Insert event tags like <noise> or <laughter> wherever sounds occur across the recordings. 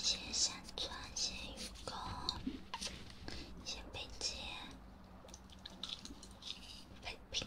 先山川，先鱼钩，先飞机，飞屏。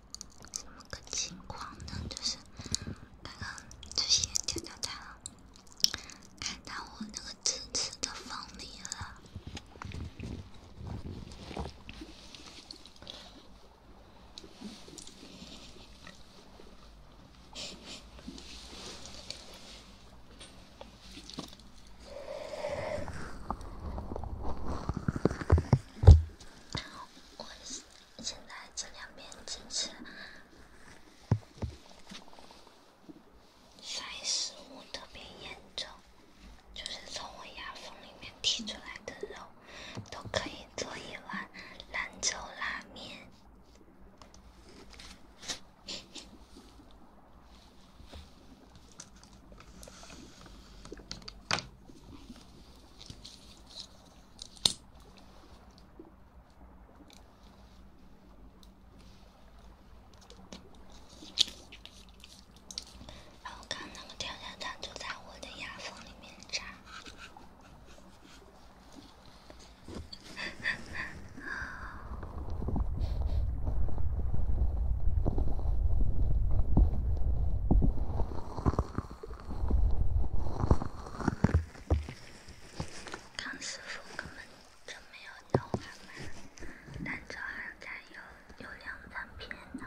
什么个情况呢？就是刚刚就前听到他了，看到我那个支持的风力了，现在这两边真是塞食物特别严重，就是从我牙缝里面剔出来的肉，都可以做一碗兰州拉面。然后，刚那个跳跳糖就在我的牙缝里面扎。<laughs> 康师傅根本就没有倒满，但好像餐有有两三片呢。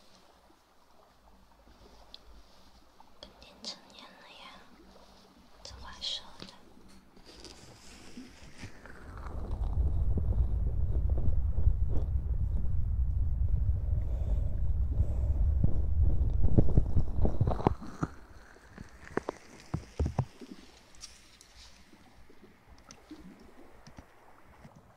肯定成年了呀，这话说的。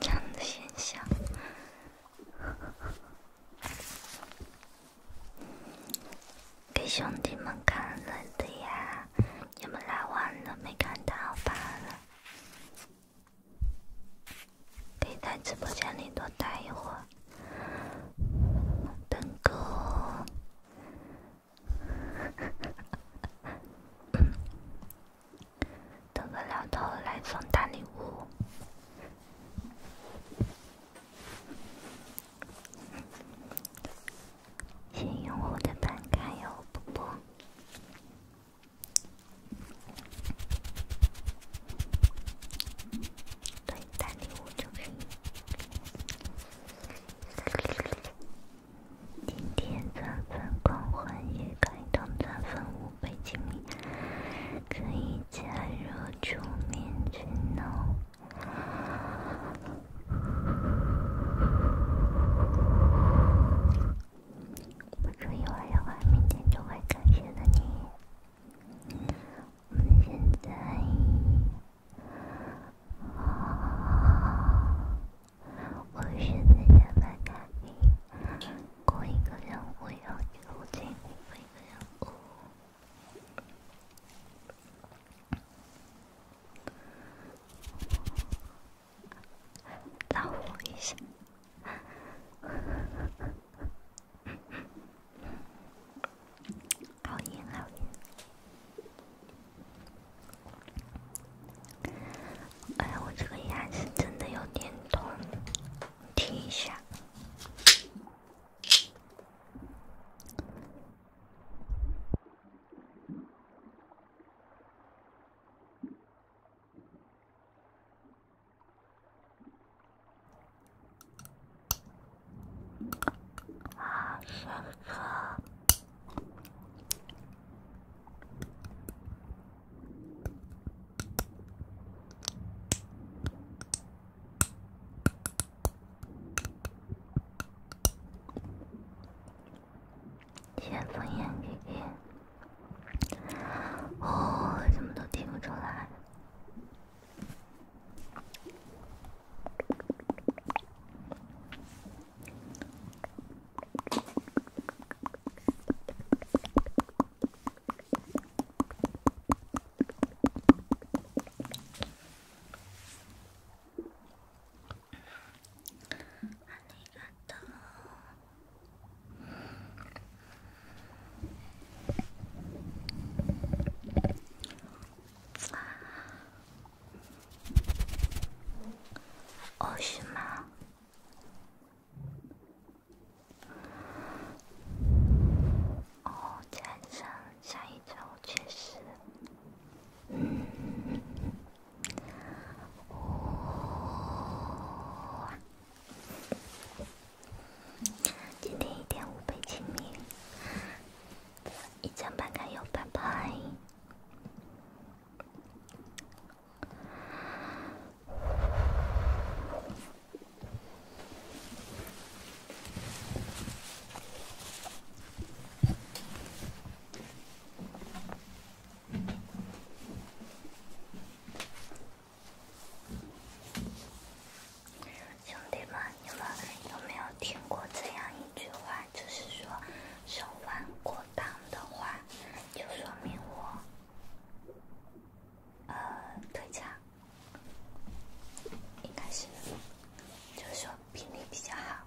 这样的现象。给兄弟们看了的呀，你们来晚了没看到罢了。可以在直播间里多待一会儿，等哥，等个老头来送大礼物。新用户的门槛有不不，对，单礼物就是一。今天钻粉狂欢，也开通钻粉五百金币，可以加入主面群哦。不出一会儿，一会儿明天就会感谢的你。我们现在，我现在在拍卡，过一个任务要一个五斤，过一个任务。让我一下，好严好严！哎，我这个牙齿真的有点痛，听一下。啊，上课。先放眼睛，哦，怎么都听不出来。哦什么？哦，战争，下一周确实。嗯，哇！今天一点五倍亲密，一张拍开又拍拍。兄弟们，你们有没有听过这样一句话？就是说，手挽过裆的话，就说明我呃腿长，应该是，就是说比例比较好。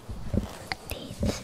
第一次。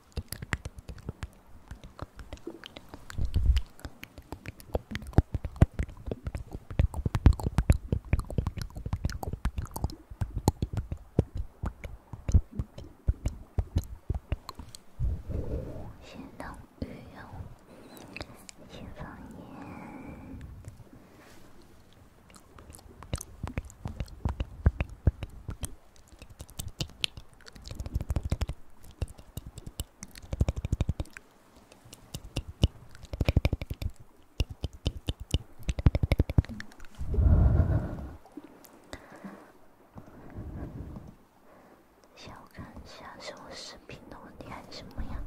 协同育用，新方言。等下，我看一下是我视频的问题还是什么呀？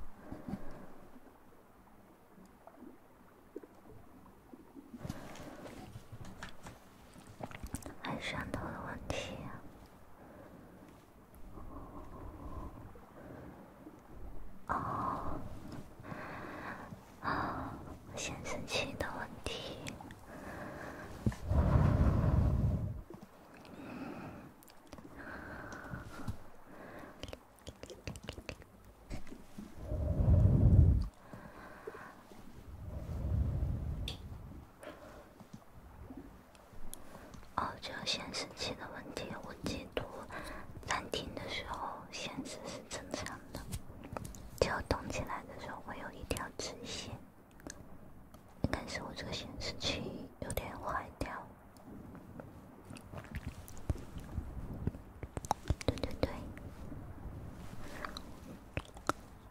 摄像头的问题。哦，啊，显示器的问题。哦，这个显示器的问题，我截图暂停的时候显示是正常的，就动起来的时候会有一条直线，应该是我这个显示器有点坏掉。对对对。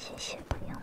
谢谢，不用了。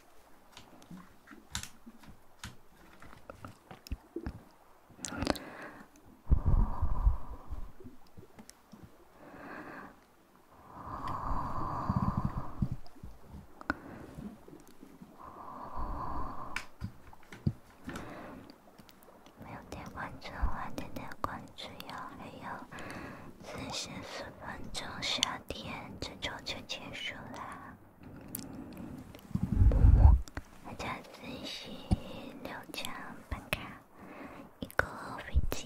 没有点关注吗？点点关注哟！还有四十分钟，夏天这周就结束啦。么么，大家支持六张办卡，一个飞机。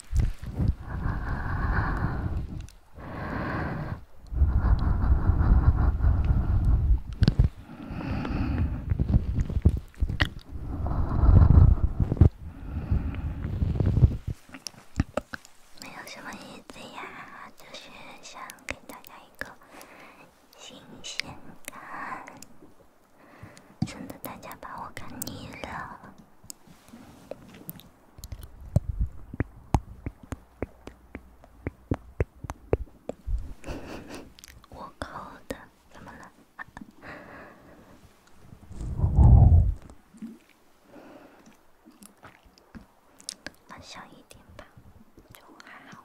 没有什么意思呀，就是想给大家一个新鲜感。真的，大家把我看腻了。<laughs> 我靠的，怎么了？放 <laughs> 小一点吧，就还好。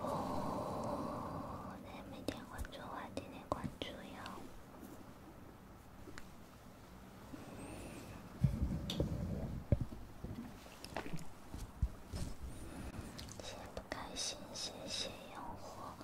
哦，还没点关注的点点关注哟。解不开心，谢谢烟火。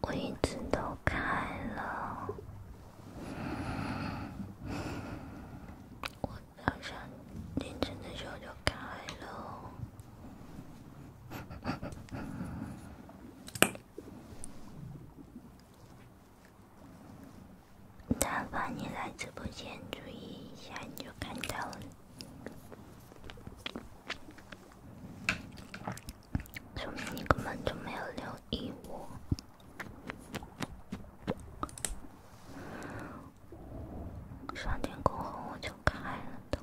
我一直都开了，我早上凌晨的时候就开了。但凡你来直播间注意一下，你就看到了，说明你根本就没有留意我。上天宫后我就开了灯。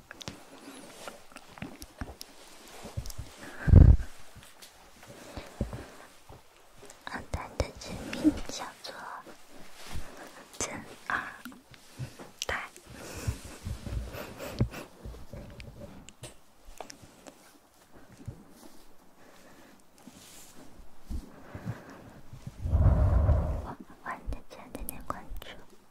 二代的真名叫做真二代。喜欢的家点点关注。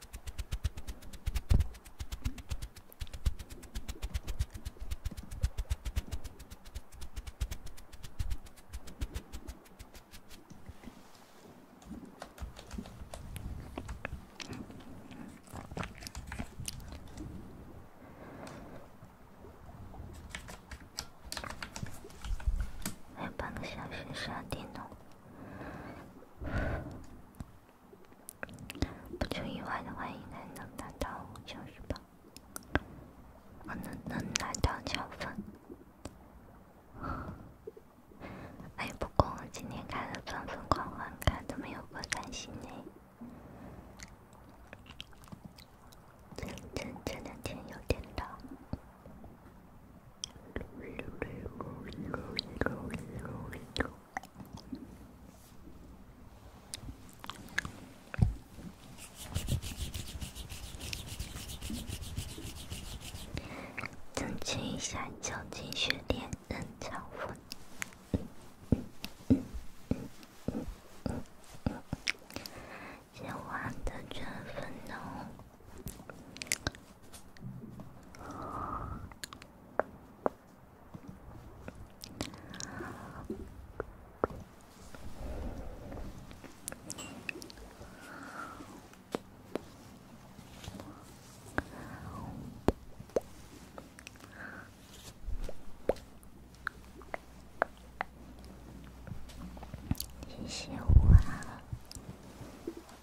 还小时，十二电脑？不出意外的话，应该能达到五九十八，能能拿到九分。哎，不过我今天开了钻粉狂欢，怎么没有过三星呢？真真这两天有点冷。增强一下脚底血，点人造粉，先画的人造粉呢？谢谢我。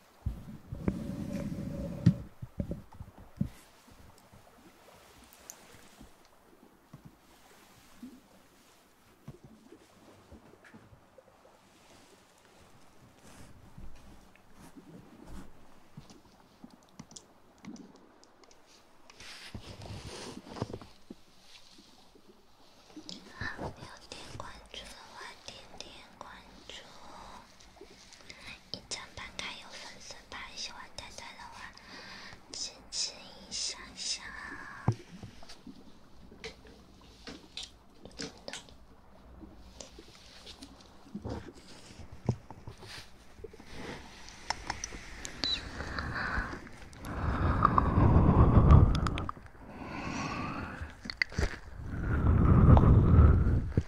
还没有点关注的话，点点关注。一张翻开有粉色吧，喜欢丹丹的话，支持一下下。真的。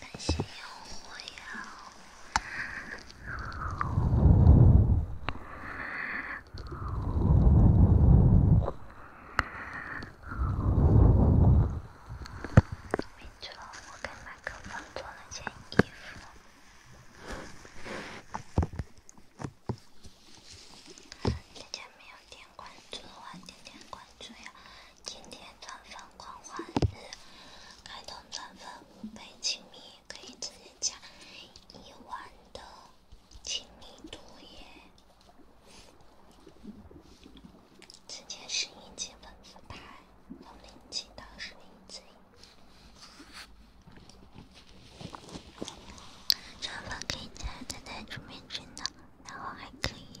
感谢烟火呀！没错，我给麦克风做了件衣服。大家没有点关注的话，点点关注呀！今天钻粉狂欢日，开通钻粉五倍亲密，可以直接加一万的亲密度耶！直接十一级粉丝牌，从零级到十一级，钻粉可以加在备注名称的，然后还可以。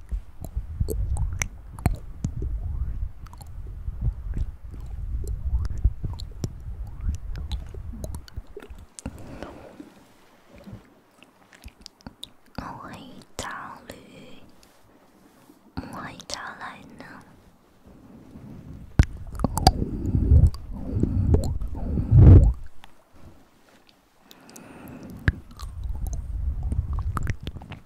我去找你，我去找你呢。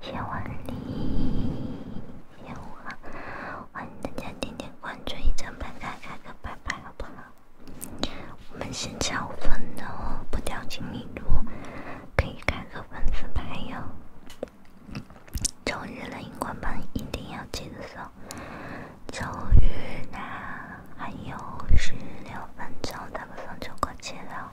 谢万里，谢五欢迎大家点点关注，一张牌开开个牌牌，好不好？我们是抢分的哦，不掉精灵珠，可以开个文字牌哟。周日的荧光牌一定要记得收。周日呢，还有十六分钟，大部分就过去了。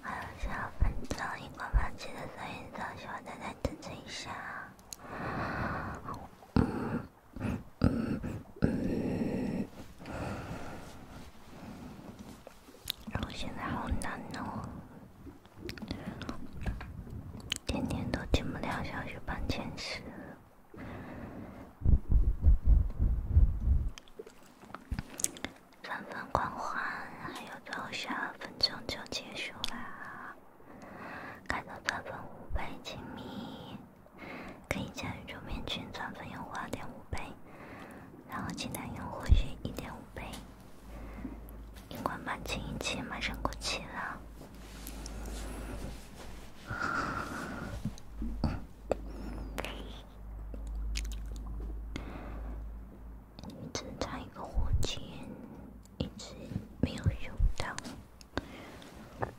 还有两分钟，一个半集的三分钟，喜欢的再等等一下。嗯嗯嗯，然后现在好难哦，天天都进不了小学班前十，三分狂欢，还有最后十二分钟就结束啦？看到钻粉五倍亲密，可以加入面筋钻粉，用户二点五倍，然后鸡蛋用户去一点五倍。荧光清一气马上过期了，增加一个火箭，一直没有用到。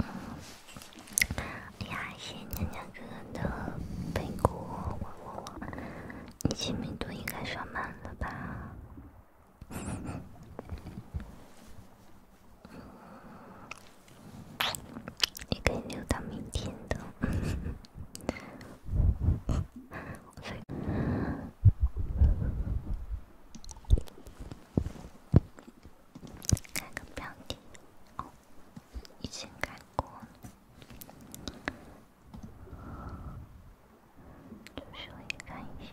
哎呀，谢谢娘娘哥哥的飞过！你七米多应该上满了吧？也 <laughs> 可以留到明天的。改个标题，哦，已经改过，稍微看一下。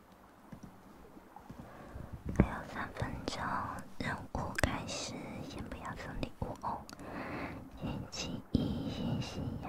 还有三分钟，任务开始，先不要送礼物哦，先起一先信仰。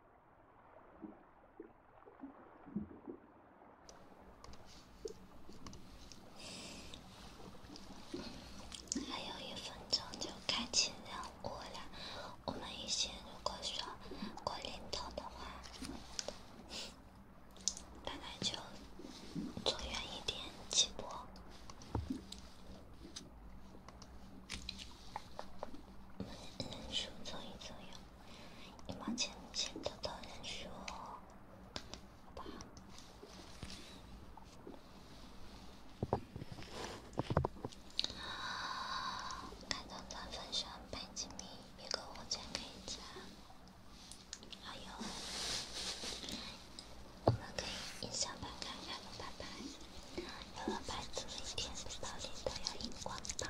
还有一分钟就开启任务了，我们一些如果说过临走的话，大概就走远一点起步。我们认输，做一做哟。一毛钱，先偷偷认输吧。看到他身上白金币，别个火箭可以加。还有，我们可以一箱两箱两百二百多一天，包里都有荧光棒。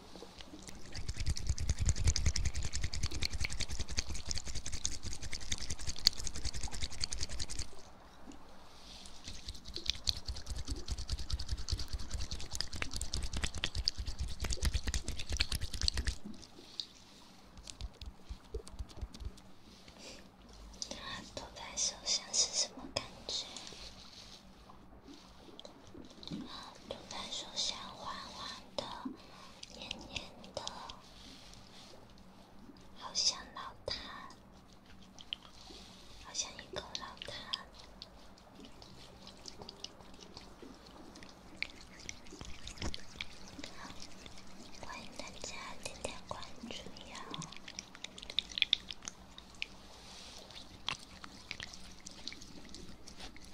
涂在手上是什么感觉？涂在手上，滑滑的。黏黏的，好像老痰，好像一口老痰。欢迎大家今天关注我。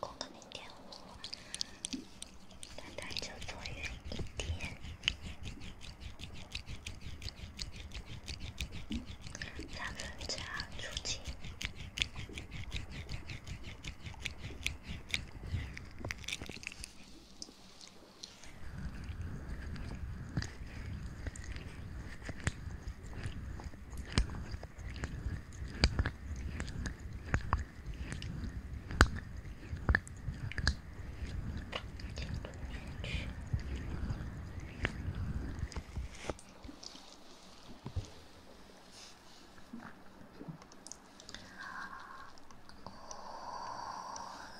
加个零点五，它就多远一点？三分之二除七。我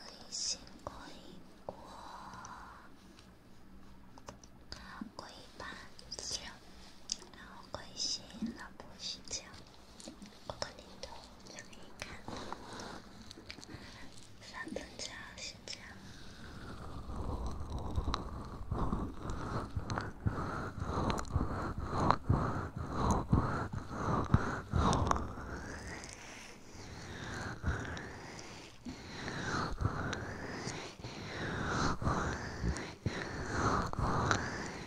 零星过一过，过一半，然后过一星期，然后过我个人觉得，看一看，三分钟、十分钟。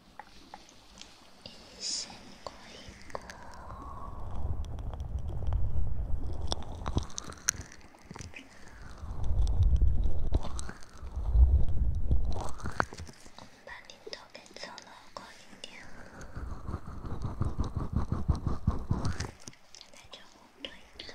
一声过一声，我们把镜头给凑得过一点，再照多一个。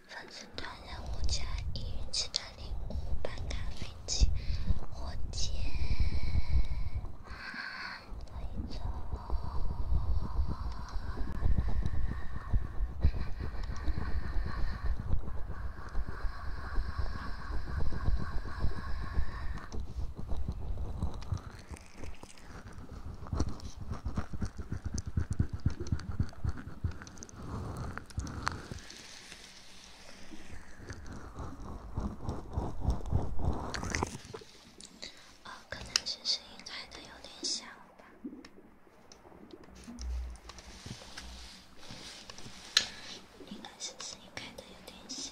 完成短任务加一元气的礼物，办咖啡机，火箭，微草。哦，可能是声音开的有点小吧，应该是声音开的有点小。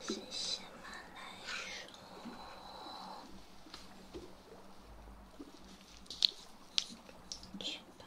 是什么来说？去吧。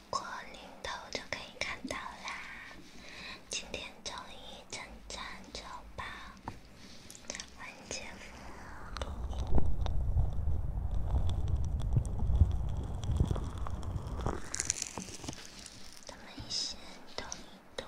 过零头就可以看到啦！今天终于正正走吧，文姐夫，咱们先动一动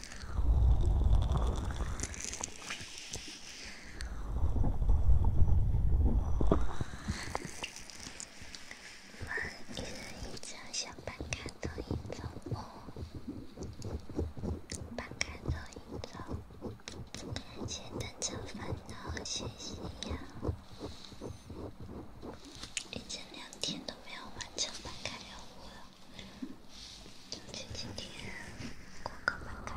一人一张小板卡，同一层木，板卡同一层，简单找烦恼，写写谣。一整两天都没有完成板卡任务了。前几天顾客们看到。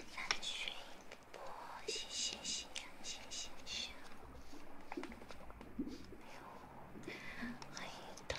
三水波，谢谢谢谢谢谢，还有欢迎彤。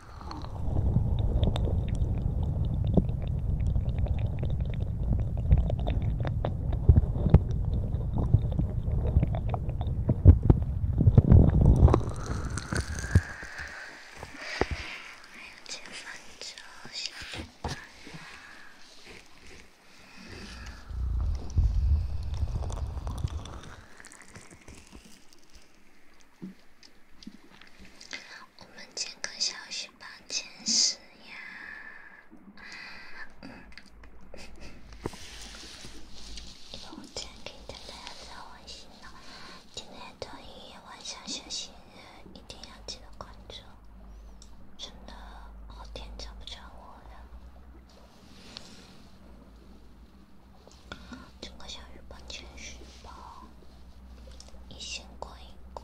还有几分钟，下课。我们整个小翅膀天使呀，嗯，我今天给大家做完新了，今天周一晚上休息一定要记得关注，真的好天找不着我了，整个小翅膀天使吧。你先过一过。